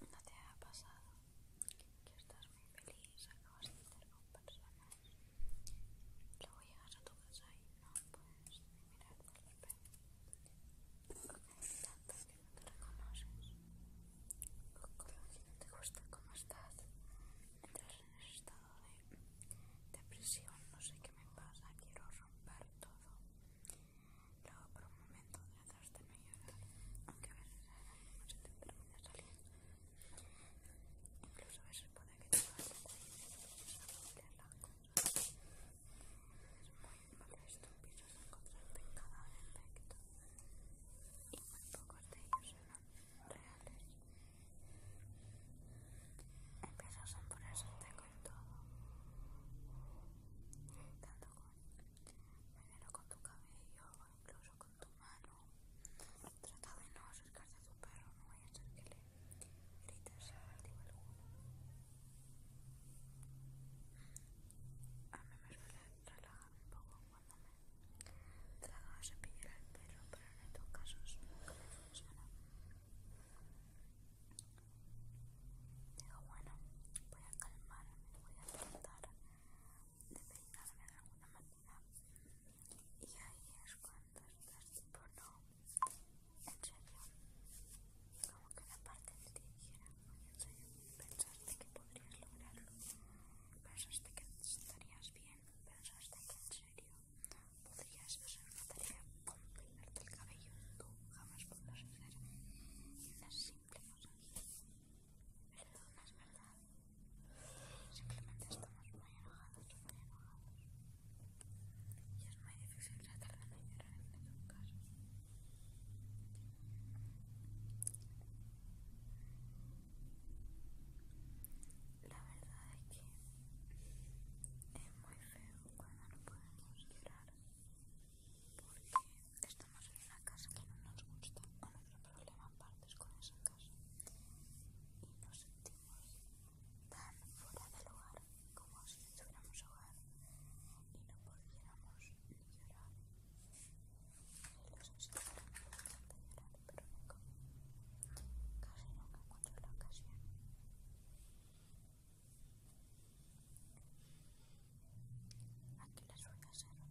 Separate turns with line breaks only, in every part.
¿No te ha pasado que estás muy feliz, acabas de estar con personas, luego llegas a tu casa y no puedes ni mirarte al tanto que no te reconoces. que no te gusta cómo estás, entras en ese estado de depresión, no sé qué me pasa, quiero romper todo. Luego por un momento trataste de no llorar, aunque a veces no se te termina salir. Incluso a veces puede que te vaya el cuello y empiezas a doler las cosas. Es muy molesto, empiezas a encontrarte en cada aspecto. Y muy pocos de ellos son reales. Empiezas a ponerse con todo, Primero con tu cabello o incluso con tu mano. Trata de no acercarte a tu perro, no voy a hacer que le grites a alguno. A mí me suele relajar un poco cuando me trago a cepillar al perro, pero en estos casos nunca me funciona. Digo, bueno, voy a calmarme, voy a tratar de peinarme de alguna manera. Y ahí es cuando estás tipo, no, en serio, como que la parte de ti dijera, en serio, pensaste que podrías lograrlo, pensaste que estarías bien, pensaste que en serio podrías hacer una tarea con peinarte el cabello, tú jamás podrás hacer. Pero es verdad. Simplemente estamos muy enojados, muy enojados. Y es muy difícil tratar de no llorar en ningún caso, La verdad es que es muy feo cuando no podemos llorar porque estamos en una casa que no nos gusta o nuestro problema partes con esa casa y nos sentimos tan fuera de lugar como si estuviéramos tuviéramos hogar y no pudiéramos ni llorar. Los sé si me de llorar, pero nunca, casi nunca encuentro la ocasión. Aquí las uñas a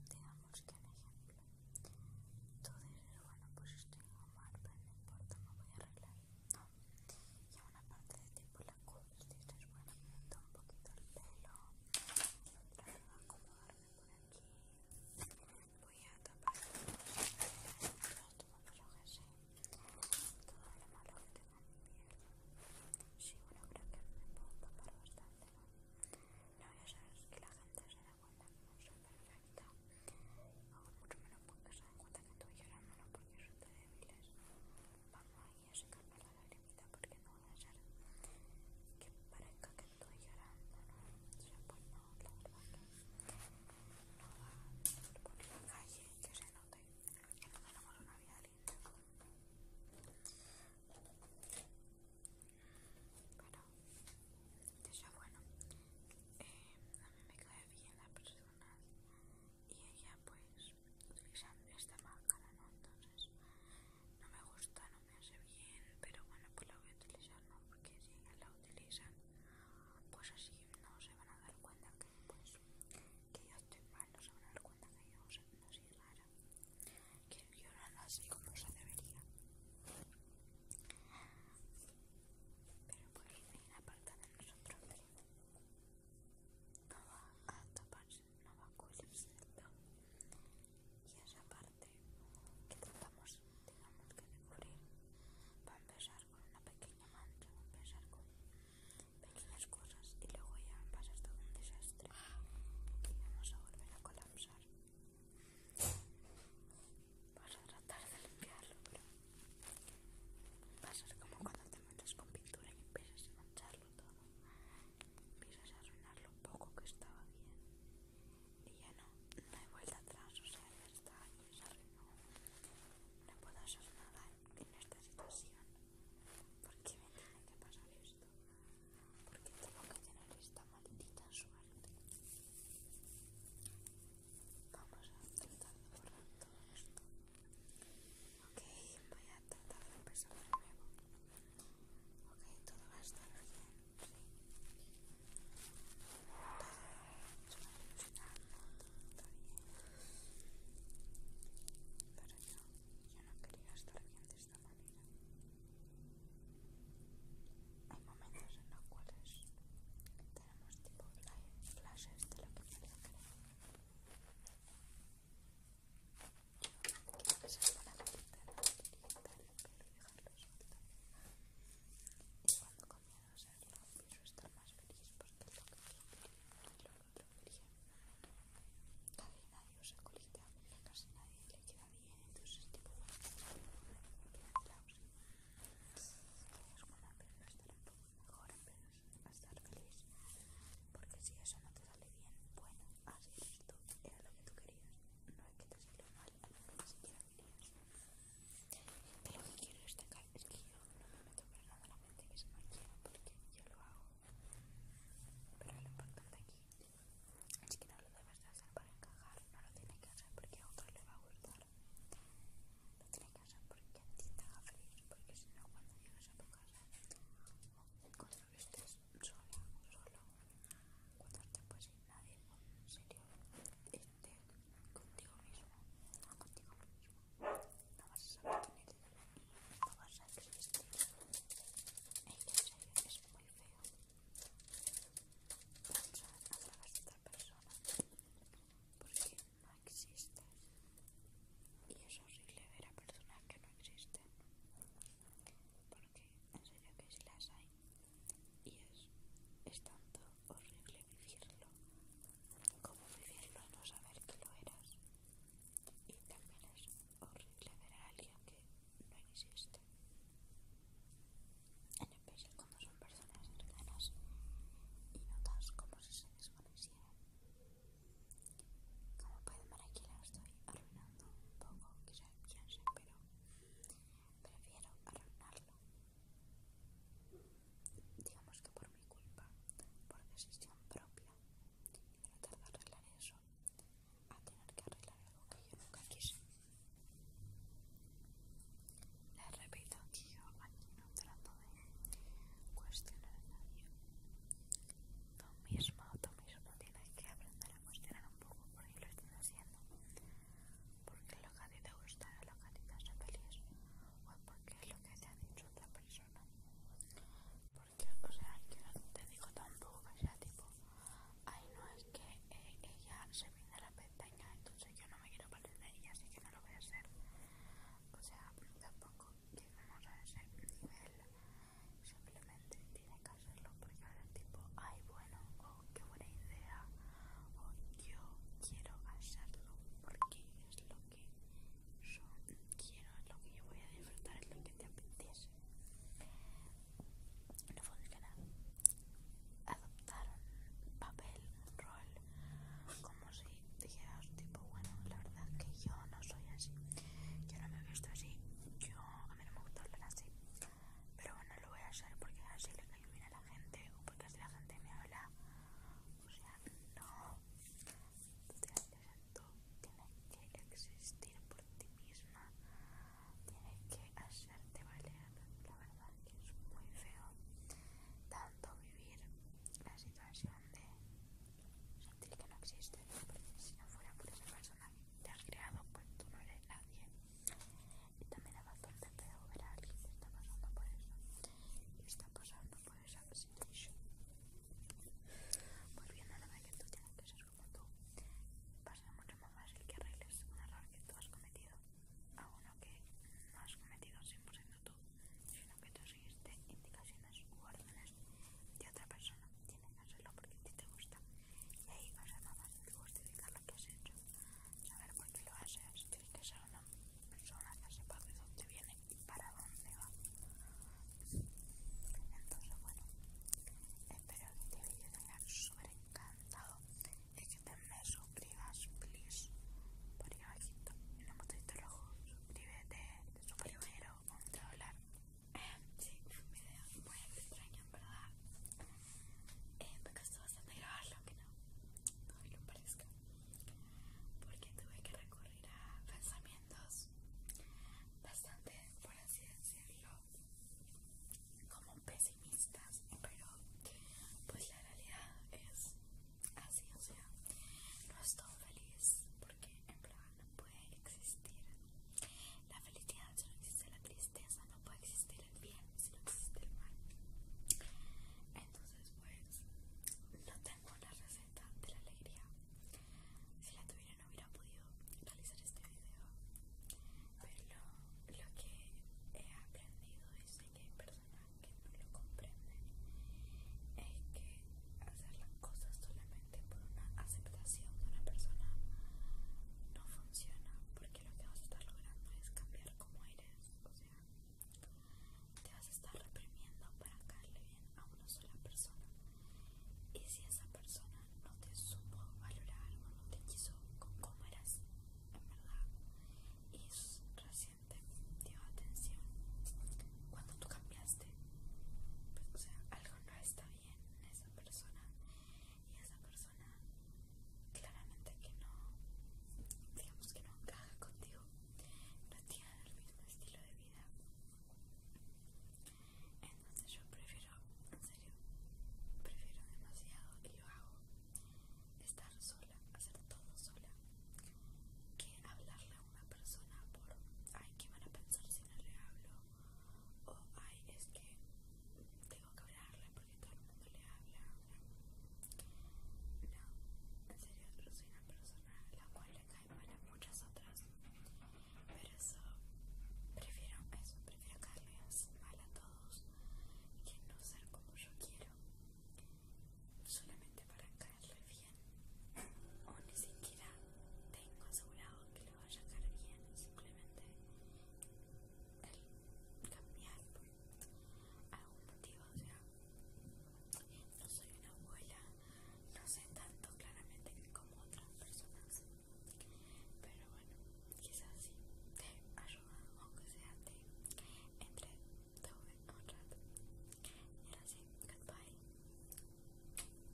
digamos que un ejemplo. Tú dices, bueno, pues estoy mal, pero no importa, me voy a arreglar. No. Y a una parte de tipo la cubres, dices, bueno, me meto un poquito el pelo, la voy a acomodarme por aquí, voy a tapar los tomos que malo Sí, bueno, creo que me puedo tapar bastante, ¿no? No, ya sabes que la gente se da cuenta que no soy perfecta. O mucho menos porque se dan cuenta que estoy llorando, no la mano porque son tan débiles. Vamos ahí a secarme la lagrimita porque no voy a ser que parezca que estoy llorando, ¿no? O no, la verdad que no va a por la calle que se note que tenemos una vida pero de hecho, bueno, a mí me cae bien la persona y ella, pues, utilizando esta máscara, ¿no? Entonces, no me gusta, no me hace bien, pero bueno, pues la voy a utilizar, ¿no? Porque si ella la utiliza pues así no se van a dar cuenta que, pues, que yo estoy mal, no se van a dar cuenta que yo o sea, no rara que llorar así como se debería. Pero por ahí la parte de nosotros. No va a taparse, no va a cubrirse del todo. Y esa parte que tratamos, digamos que de cubrir, va a empezar con una pequeña mancha, va a empezar con las cosas y luego ya pasas todo un desastre y vamos a volver a colapsar. Vas a tratar de limpiarlo, pero va a ser como cuando te metes con pintura y empiezas a mancharlo todo. Empiezas a arruinar lo poco que estaba bien. Y ya no, no hay vuelta atrás, o sea, ya está y se arruinó. No puedo hacer nada en esta situación. ¿Por qué me tiene que pasar esto? Porque tengo que tener esta maldita suerte? Vamos a tratar de borrar todo esto. Ok, voy a tratar de empezar de nuevo. Ok, todo va a estar bien, sí. Todo está bien. Pero yo, yo no quería estar viendo de esta manera. Hay momentos en los cuales tenemos tipo flashes de lo que queremos creer. Yo se para la ventana, orientar y dejarlo suelto. Y cuando comienzo a hacerlo, empiezo a estar más feliz porque es lo que quiero plomería. Casi nadie usa colita, a casi nadie le queda bien, entonces es tipo bueno, es como una a estar un poco mejor, apenas a estar feliz, porque si eso no te sale bien, bueno, así eres tú, era lo que tú querías, no es que te mal, a lo que ni siquiera querías. Pero lo que quiero destacar es que yo no me meto para nada la mente que se me quiera, porque yo lo hago pero lo importante aquí es que no lo debes de hacer para encajar, no lo tienes que hacer porque a otro le va a gustar. Lo tienes que hacer porque a ti te haga feliz, porque si no, cuando llegues a tu casa cuando estés sola solo, cuando te pues sin nadie, en serio, estés contigo mismo, no contigo mismo, no vas a saber no vas a existir. es muy feo. Pensar a través de persona porque no existes. Y es horrible ver a personas que no existen. Porque en serio que si las hay. Y es, es tanto horrible vivirlo como vivirlo no saber que lo eras. Y también es horrible ver a alguien que no existe. En especial cuando son personas cercanas y notas como si se desvanecieran. Como pueden ver aquí la estoy arruinando un poco, quizá piense, pero prefiero arruinarlo. Digamos que por mi culpa, por decisión propia, y no tardar arreglar eso a tener que arreglar algo que yo nunca quise. Les repito que yo aquí no trato de cuestionar a nadie. Tú mismo, tú mismo tienes que aprender a cuestionar un poco por qué lo estás haciendo. Porque lo que a ti te gusta, lo que a ti te hace feliz, o porque es lo que te ha dicho otra persona o sea, yo no te digo tampoco que sea tipo, ay, no, es que eh, ella se a la pestaña, entonces yo no me quiero parecer de ella, así que no lo voy a hacer. O sea, tampoco vamos a ese nivel, simplemente tiene que hacerlo porque ahora es tipo, ay, bueno, o oh, qué buena idea, o oh, yo quiero hacerlo porque es lo que yo quiero, es lo que yo voy a disfrutar, es lo que te apetece no adoptar Adoptaron papel, rol, como si dijeras, tipo, bueno, la verdad que yo no soy así, yo no me he visto así, yo a mí no me gusta hablar así, pero bueno, lo voy a hacer porque así le caigo bien a la gente o porque así la gente me habla, o sea, no tú tiene que existir por ti misma, tienes que hacerte valer. La verdad que es muy feo tanto vivir la situación de sentir que no existe, porque si no fuera por esa persona que te has creado, pues tú no eres nadie. Y también es bastante feo ver a alguien que está pasando por eso y está pasando por esa situación. Volviendo a la que tú tienes que como tú. pasa mucho más el que arregles un error que tú has cometido a uno que no has cometido 100% tú, sino que tú seguiste indicaciones u órdenes de otra persona. Tienes que hacerlo porque a ti te gusta. Y ahí va a ser más fácil justificar lo que has hecho. Saber por qué lo haces. Tienes que ser una persona que sepa de dónde viene y para dónde va. Entonces, bueno, espero que este vídeo un encantado y que te me suscribas, please. Por ahí en el rojo, suscríbete, hablar. Sí, video muy extraño, verdad. Eh, me bastante que no, no lo parezca. Porque tuve que recurrir a pensamientos bastante, por así como pesimistas, pero pues la realidad es así, o sea, no estoy feliz porque en plan no puede existir la felicidad, si no existe la tristeza, no puede existir el bien, si no existe el mal. Entonces pues no tengo la receta de la alegría. Si la tuviera no hubiera podido realizar este video pero lo que he aprendido es que hay personas que no lo comprenden es que hacer las cosas solamente por una aceptación de una persona no funciona porque lo que vas a estar logrando es cambiar como eres o sea te vas a estar reprimiendo para caerle bien a una sola persona y si esa persona no te supo valorar o no te quiso con cómo eras en verdad y recién dio atención cuando tú cambiaste, pues, o sea, algo no está bien en esa persona y esa persona claramente que no, digamos que no encaja contigo, no tiene el mismo estilo de vida entonces yo prefiero, en serio, prefiero demasiado que yo hago estar sola, hacer todo sola, que hablarle a una persona por ay, ¿qué van a pensar si no le hablo? O ay, es que tengo que hablarle porque todo el mundo le habla. No, en serio, yo soy una persona a la cual le caen mal a muchas otras pero eso prefiero eso prefiero caerles mal a todos que no ser como yo quiero solamente para caerle bien o ni siquiera tengo asegurado que le vaya a caer bien simplemente el cambiar por algún motivo o sea no soy una abuela no sé tanto claramente como otras personas pero bueno, quizás sí te ayuda, aunque sea te todo un rato. Y ahora sí, goodbye.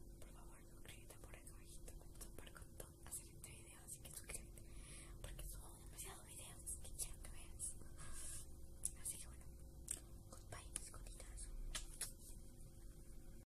Por favor, suscríbete por el abajo. para super hacer este video, así que suscríbete. Porque subo demasiados videos que quiero que veas. Así que bueno, goodbye, mis